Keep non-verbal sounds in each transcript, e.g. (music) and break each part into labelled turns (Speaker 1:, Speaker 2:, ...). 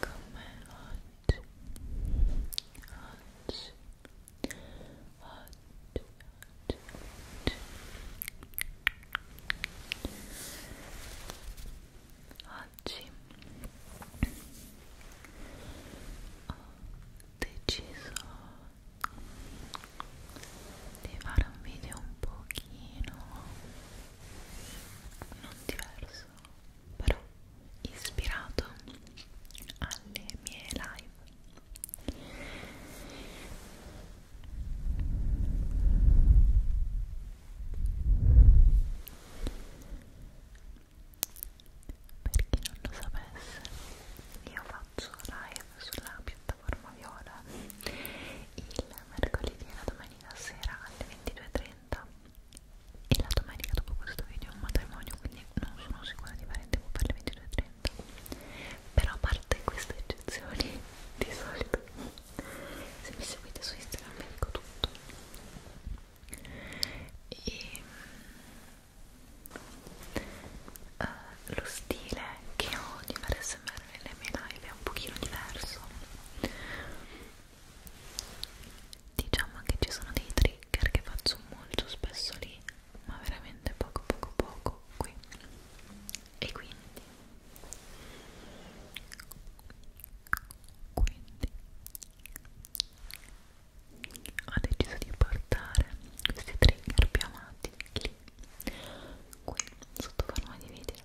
Speaker 1: come oggi oggi oggi oggi oggi ho deciso di fare un video un pochino non diverso senso però ispirato alle mie live per chi non lo sapesse io faccio live sulla piattaforma viola il mercoledì e la domenica sera alle 22.30 e la domenica dopo questo video è un matrimonio quindi non sono sicura di fare in tempo per le 22.30 però a parte queste eccezioni (laughs) di solito se mi seguite su Instagram vi dico tutto e uh, lo stile che ho di fare smr nelle mie live è un pochino diverso diciamo che ci sono dei trigger che faccio molto spesso lì ma veramente poco poco poco qui e quindi quindi ho deciso di portare questi trigger più amati lì qui sotto forma di video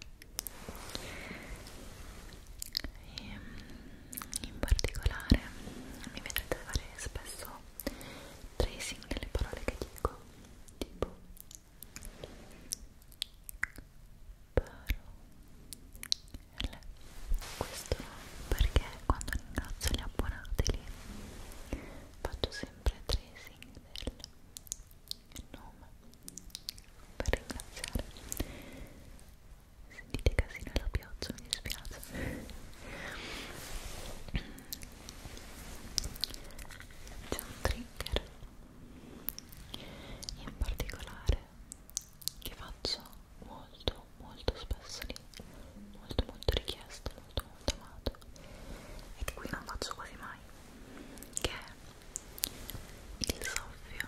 Speaker 1: e ehm, in particolare mi vedrete fare spesso tracing delle parole che dico tipo parole questo perché quando ringrazio gli abbonati lì faccio sempre tracing del nome per ringraziare Sentite casino la pioggia, mi dispiace. C'è un trigger in particolare che faccio molto molto spesso lì, molto molto richiesto, molto molto amato e che qui non faccio quasi mai, che è il soffio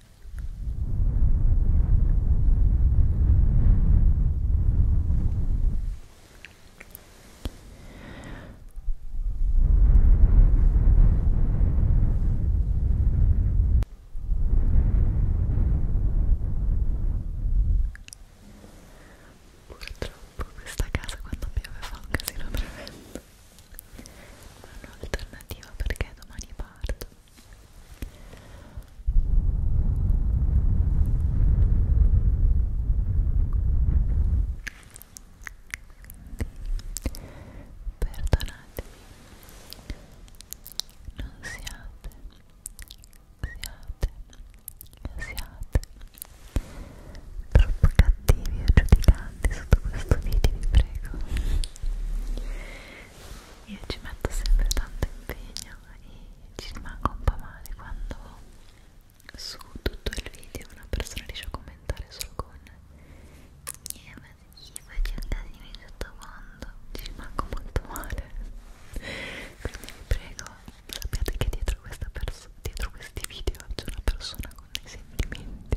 Speaker 1: Purtroppo questa casa quando piove fa un casino tremendo. Non ho alternativa perché domani parto Perdonatemi, non siate, siate, siate troppo cattivi o giudicanti sotto questo video, vi prego io ci metto sempre tanto impegno e ci rimango un po' male quando su tutto il video una persona riesce a commentare solo con eh ma sì, faccio un casino in sottofondo ci rimango molto male quindi vi prego sappiate che dietro, questa dietro questi video c'è una persona con dei sentimenti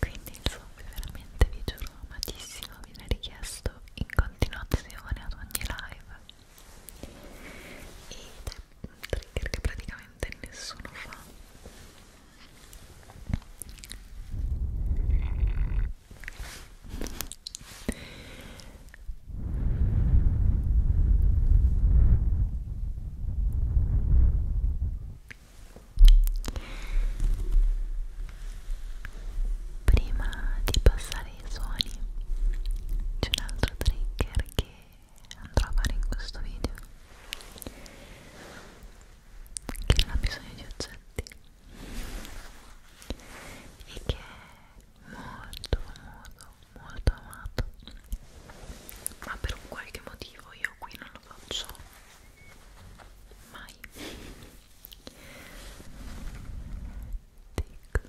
Speaker 1: quindi insomma veramente vi giuro amatissimo vi viene richiesto in continuazione ad ogni live ed è trigger che praticamente nessuno fa Prima di passare ai suoni c'è un altro trigger che andrò a fare in questo video che non ha bisogno di oggetti e che è molto molto molto amato ma per un qualche motivo io qui non lo faccio mai tic tic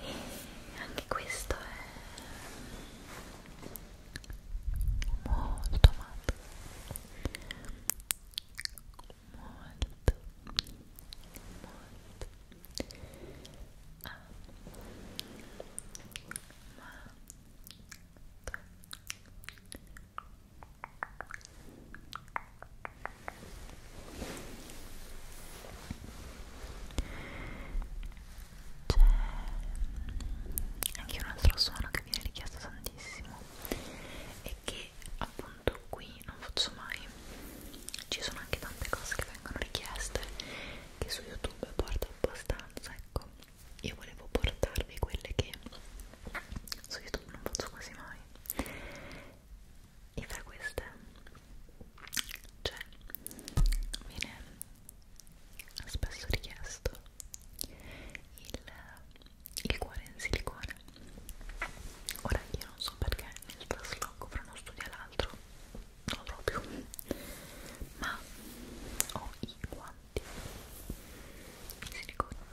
Speaker 1: E anche questo è molto matto molto a ma c'è anche un altro suono che viene richiesto tantissimo e che appunto tanto qui non faccio mai ci sono anche tante cose che vengono richieste che su youtube porto abbastanza ecco io volevo portarvi quelle che su youtube non faccio quasi mai e fra queste cioè viene spesso richiesto il, il cuore in silicone ora io non so perché nel trasloco fra uno studio e l'altro non lo trovo più ma ho i guanti in silicone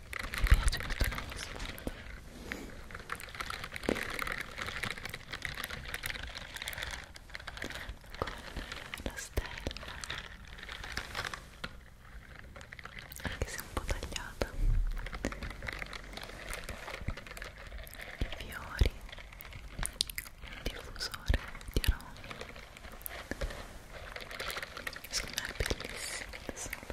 Speaker 1: mi piace molto lo sfondo con la stella anche se un po' tagliata i fiori un diffusore di aromi secondo me è bellissimo adesso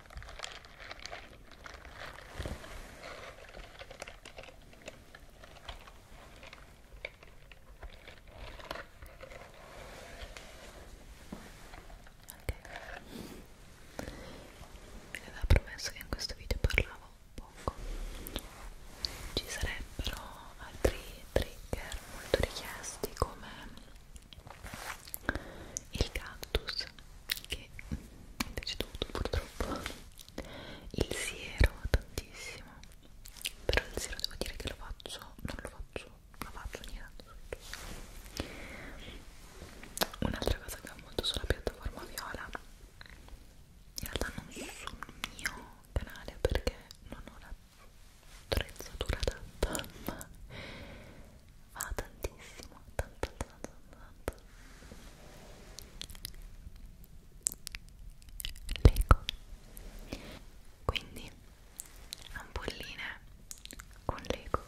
Speaker 1: mi aveva promesso che in questo video parlavo poco ci sarebbero altri trigger molto richiesti come il cactus che è deceduto purtroppo il siero tantissimo però il siero devo dire che lo faccio non lo faccio lo faccio ogni tanto un'altra cosa che ho molto sulla piattaforma viola in realtà non sul mio canale perché non ho l'attrezzatura adatta ma va tantissimo tanto tanto tanto l'eco quindi ampolline con l'eco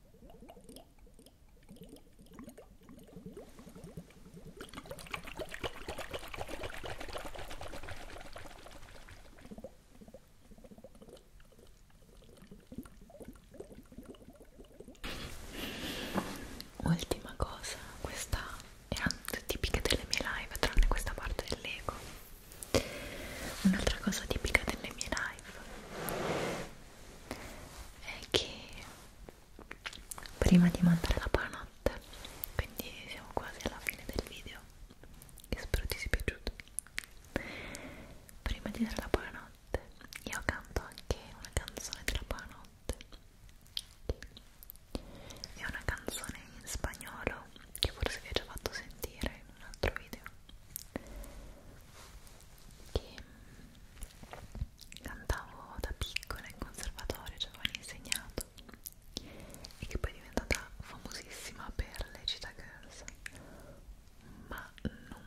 Speaker 1: Ultima cosa, questa erano tipiche delle mie live, tranne questa parte dell'ego. Un'altra cosa tipica delle mie live è che prima di mandare la buonanotte quindi siamo quasi alla fine del video e spero ti sia piaciuto prima di dare la buonanotte io canto anche una canzone della buonanotte è una canzone in spagnolo che forse vi ho già fatto sentire in un altro video che cantavo da piccola in conservatorio, ci cioè avevano insegnato e che poi è diventata famosissima per le Cheetah Girls ma non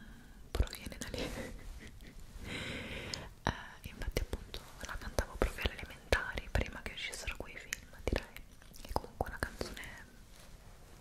Speaker 1: proviene da lì (laughs) eh, infatti appunto la cantavo proprio alle elementari prima che uscissero quei film direi e comunque una canzone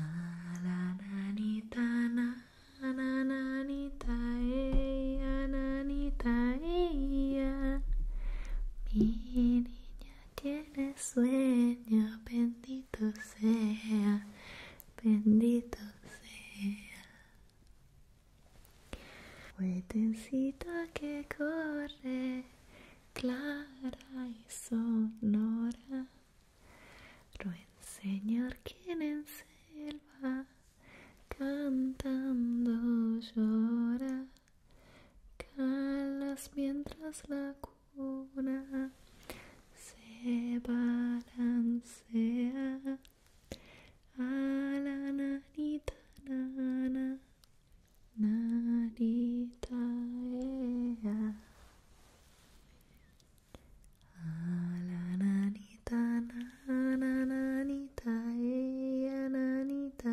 Speaker 1: A la nanita, a nanita, ella, nanita, ella Mi niña tiene sueño, bendito sea, bendito sea Huetensito que corre clara y sonora. Lo enseñar quien en selva cantando llora. Calas mientras la cuna se balancea a la nanita nana Nanita nanita nana nanita nanita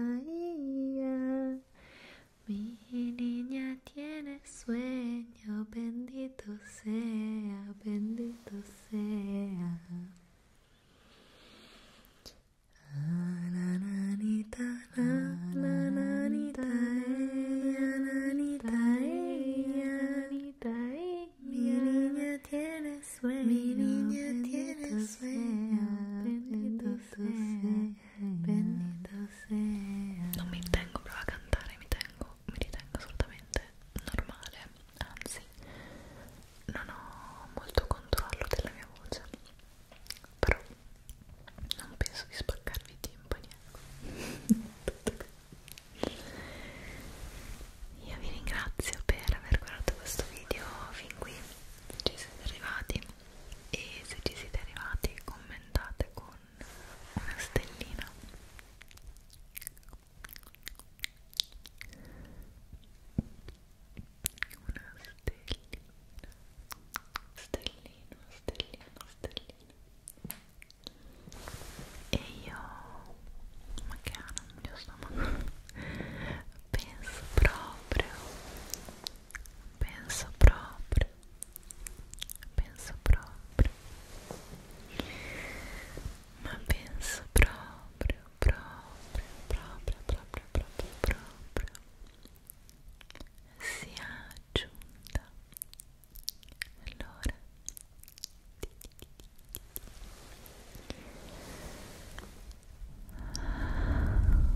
Speaker 1: mi niña tiene sueño bendito sea bendito sea LA nanita Mi niña tiene sueño, bendito sea, bendito sea. Non mi tengo prova a cantare, mi tengo, mi ritengo assolutamente normale, anzi non ho molto controllo della mia voce però non penso di spaccarvi i timpani ecco. io vi ringrazio per aver guardato questo video fin qui se ci siete arrivati e se ci siete arrivati commentate con una stellina una stellina stellina stellina, stellina, stellina e io ma che ha nel mio stomaco penso proprio penso proprio penso proprio ma penso proprio proprio proprio proprio proprio proprio sia giunta l'ora di passare le luci e augurarti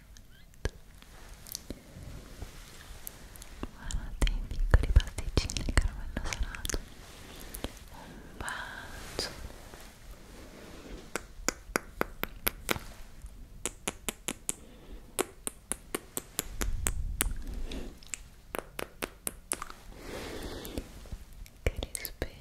Speaker 1: buonanotte guardate i piccoli pasticcini di caramello salato un bacio che vi spero